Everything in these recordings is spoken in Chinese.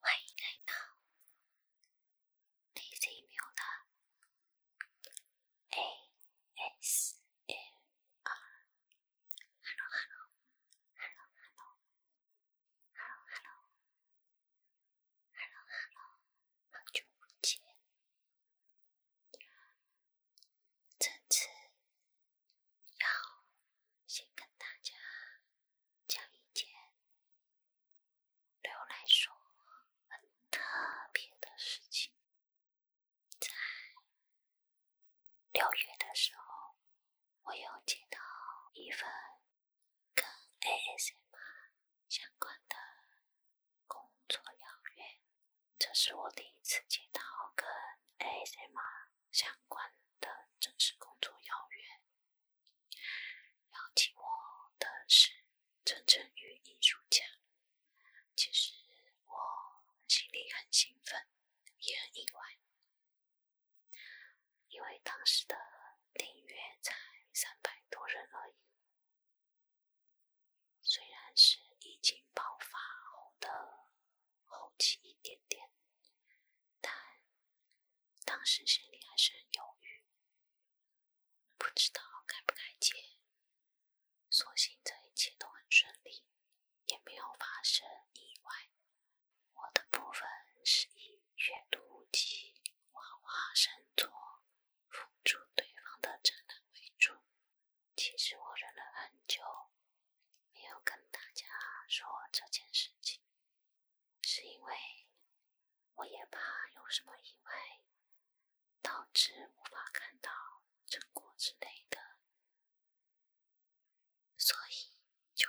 欢迎来到李泽明的 A S L R。Hello，hello，hello，hello，hello，hello，hello，好久不见。这次要先跟大家讲一件对我来说很特别的事情。在六月的时候，我有接到一份跟 ASMR 相关的。工作邀约，这是我第一次接到跟 ASMR 相关的正式工作邀约。邀请我的是真正与艺术家，其实我心里很兴奋，也很意外，因为当时的订阅才三百多人而已。虽然是疫情爆发后的后期一点点，但当时心里还是很犹豫，不知道该不该接。所幸这一切都很顺利，也没有发生意外。我的部分是以阅读、及画画、生作辅助对方的展览为主。其实我忍了很久，没有跟大家说这件事情，是因为我也怕有什么意外，导致无法看到成果之类的，所以就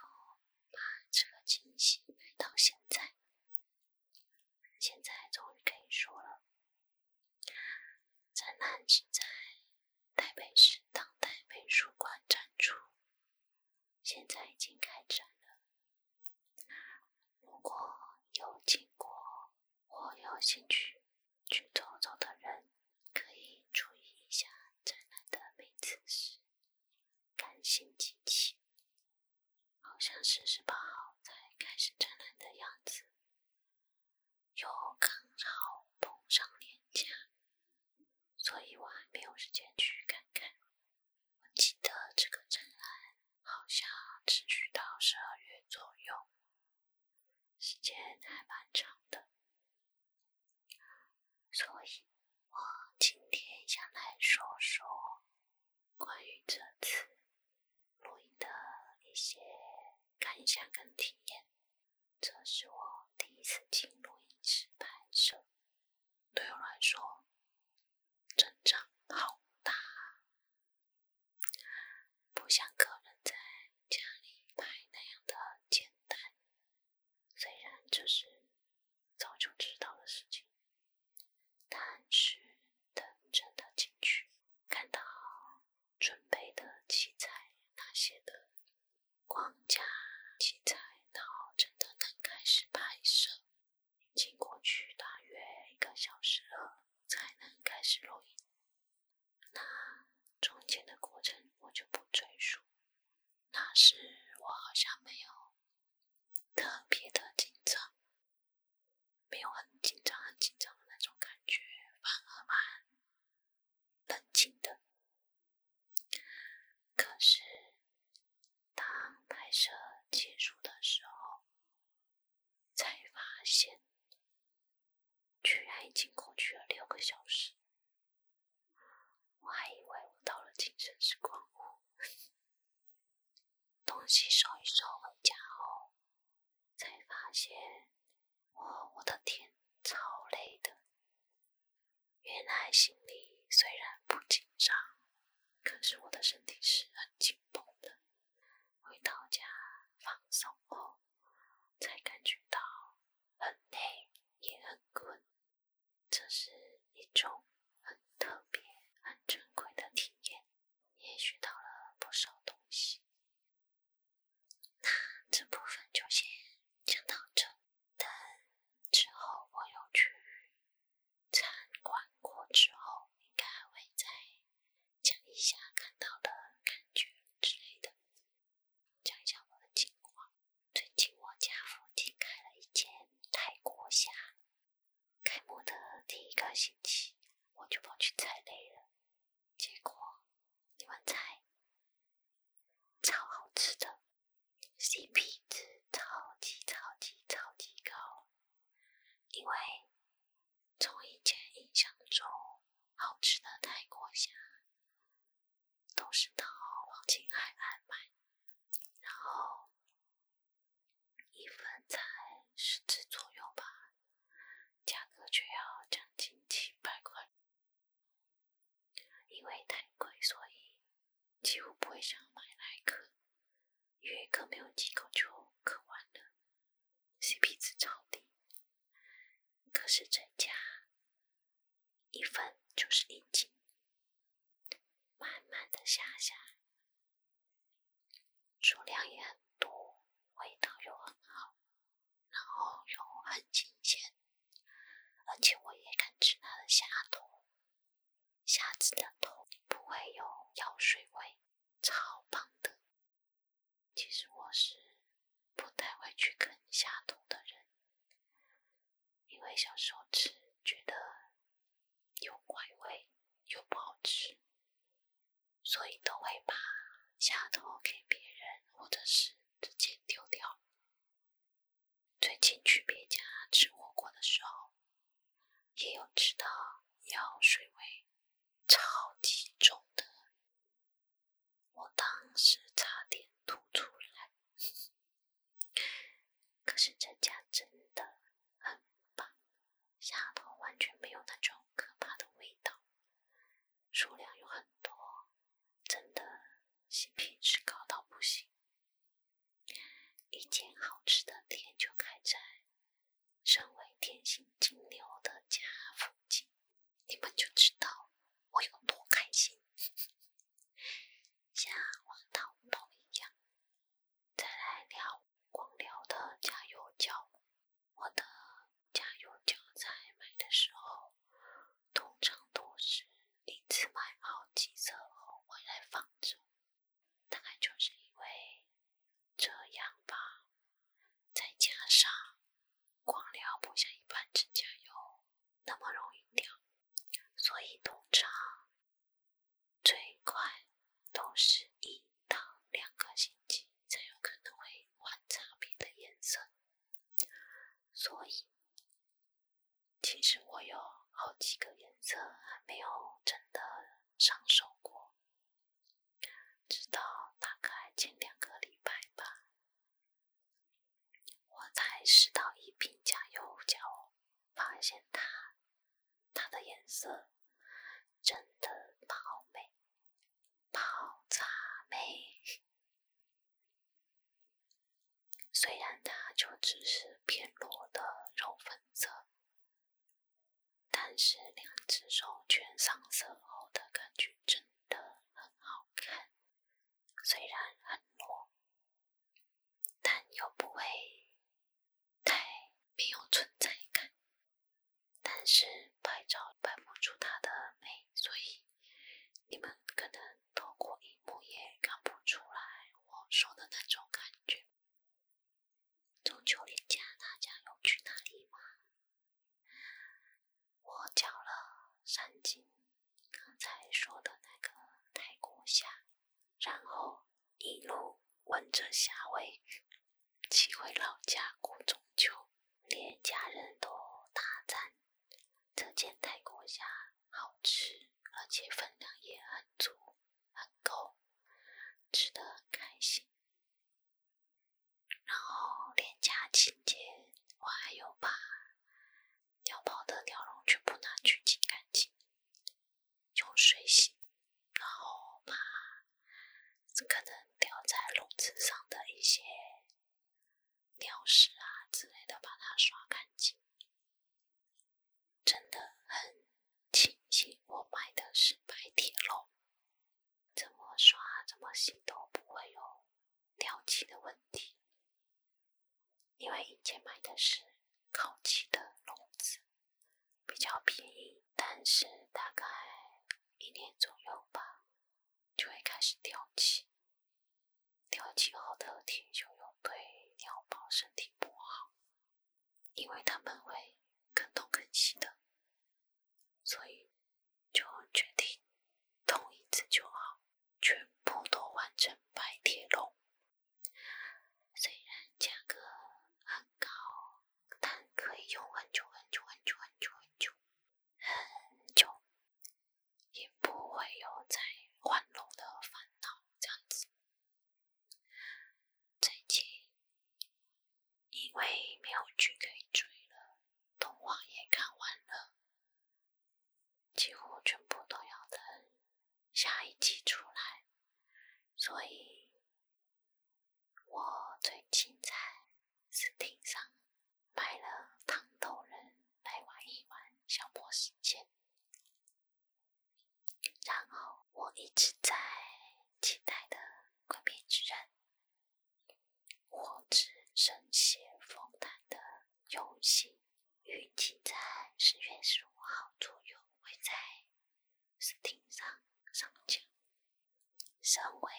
把这个惊喜埋到现在。现在终于可以说了。展览是在台北市当代美术馆展出，现在已经开展了。如果有经过或有兴趣去走走的人，可以注意一下展览的名字是《感性机器》，好像是十八号才开始展览的样子。又刚好碰上年假，所以我还没有时间去看看。我记得这个展览好像持续到十二月左右，时间还蛮长的。所以我今天想来说说关于这次录音的一些感想跟体验。这是我第一次进录音室拍摄，对我来说阵长好大，不像个人在家里拍那样的简单。虽然这是早就知道的事情，但是等真的进去看到。准备的器材那些的框架器材，然后真的能开始拍摄。已经过去大约一个小时了，才能开始录音。那中间的过程我就不赘述。那时我好像没有特别的紧张，没有很紧张很紧张的那种感觉，反而蛮冷静的。可是，当拍摄结束的时候，才发现，居然已经过去了六个小时。我还以为我到了精神时光屋，东西收一收，回家后。才发现，哦，我的天，超累的！原来心里虽然不紧张，可是我的身体是很紧绷的。回到家放松后，才感觉到很累，也很困。这是一种很特别、很珍贵的体验，也学到了不少东西。那这部分就先讲到这，等之后我又去参观过之后，应该会再讲一下看到的感觉之类的。讲一下我的情况，最近我家附近开了一间泰国虾，开幕的第一个星期我就跑去踩雷了。结果你们猜，超好吃的 CP 值超级超级超级高，因为从以前印象中，好吃的泰国虾都是到黄金海岸买，然后一份才十只左右吧，价格却要将近七百块。因为太贵，所以几乎不会想买来因为克没有几口就喝完了，CP 值超低。可是这家一份就是一斤，慢慢的下下，数量也很多，味道又很好。然后又很新鲜，而且我也敢吃它的虾头，虾子的头不会有药水味，超棒的。其实我是不太会去啃虾头的人，因为小时候吃觉得有怪味又不好吃，所以都会把虾头给别人或者是。直接丢掉。最近去别家吃火锅的时候，也有吃到药水味超级重的，我当时差点吐出来。可是这家真的很棒，下头完全没有那种可怕的味道。数量有很多，真的，新品值高到不行。一间好吃的店就开在，身为天蝎金牛的家附近，你们就知道我有多开心。像黄桃桃一样，再来聊光疗的加油脚。我的家养韭菜买的时候，通常都是一次买好几色后回来放种，大概就是因为这样吧。再加上光疗不像一般指甲油那么容易掉，所以通常最快都是一到两个星期才有可能会换差别的颜色。所以，其实我有好几个颜色还没有真的上手过，直到大概前两个礼拜吧，我才试到一瓶假油胶，发现它它的颜色真的好美，好炸美。虽然它就只是偏裸的肉粉色，但是两只手全上色后的感觉真的很好看。虽然很裸，但又不会太没有存在感，但是拍照拍不出它的美，所以。你们可能透过荧幕也看不出来我说的那种感觉。中秋连假大家有去哪里吗？我叫了三金，刚才说的那个泰国虾，然后一路闻着虾味，骑回老家过中秋，连家人都大赞。这件泰国虾好吃，而且分量也很足，很够，吃的很开心。然后，廉价清洁，我还有把鸟宝的鸟笼全部拿去清干净，用水洗，然后把可能掉在笼子上的一些。鸟屎啊之类的，把它刷干净，真的很庆幸我买的是白铁笼，怎么刷怎么洗都不会有掉漆的问题，因为以前买的是烤漆的笼子，比较便宜，但是大概一年左右吧。就会开始掉漆，掉漆后的铁锈又对鸟宝身体不好，因为它们会更痛更细的，所以就决定痛一次就好，全部都换成白铁笼。虽然价格很高，但可以用很久很久很久很久很久。很久也不会有再换龙的烦恼这样子。最近因为没有剧可以追了，动画也看完了，几乎全部都要等下一季出来，所以我最精彩是听上。买了糖豆人来玩一玩，消磨时间。然后我一直在期待的《鬼灭之刃》《我只神血风谭》的游戏，预计在十月十五号左右会在 Steam 上上架。身为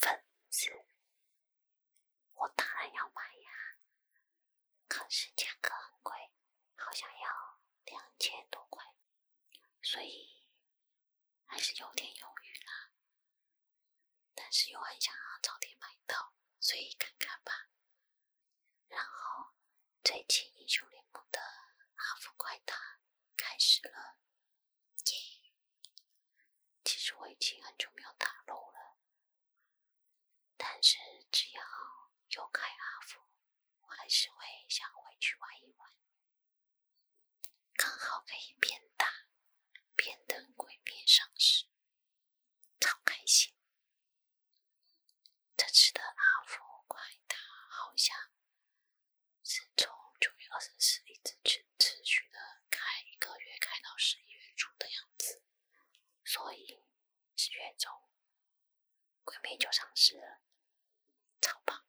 粉丝，我当然要买呀，可是价格很贵，好像要两千多块，所以还是有点犹豫啦。但是又很想要早点买到，所以看看吧。然后，最近英雄联盟的阿福快打开始了耶！其实我已经很久没有打撸了。但是只要有开阿福，我还是会想回去玩一玩，刚好可以边打边等鬼片上市，超开心。这次的阿福快打好像是从九月二十四一直持续的开一个月，开到十一月初的样子。所以十月中鬼闺蜜就尝试了超棒。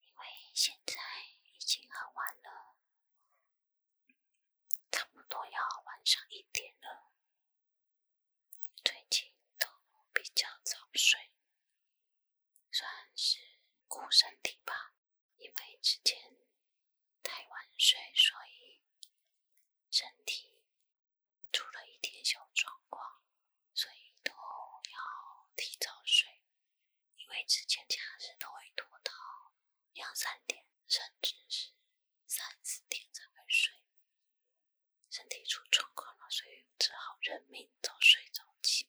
因为现在已经很晚了，差不多要晚上一点了。最近都比较早睡，算是顾身体吧。因为之前太晚睡，所以身体出了一点小状况，所以都要提早睡。因为之前假日都会拖到两三点，甚至是三四点才会睡，身体出状况了，所以只好认命早睡早起。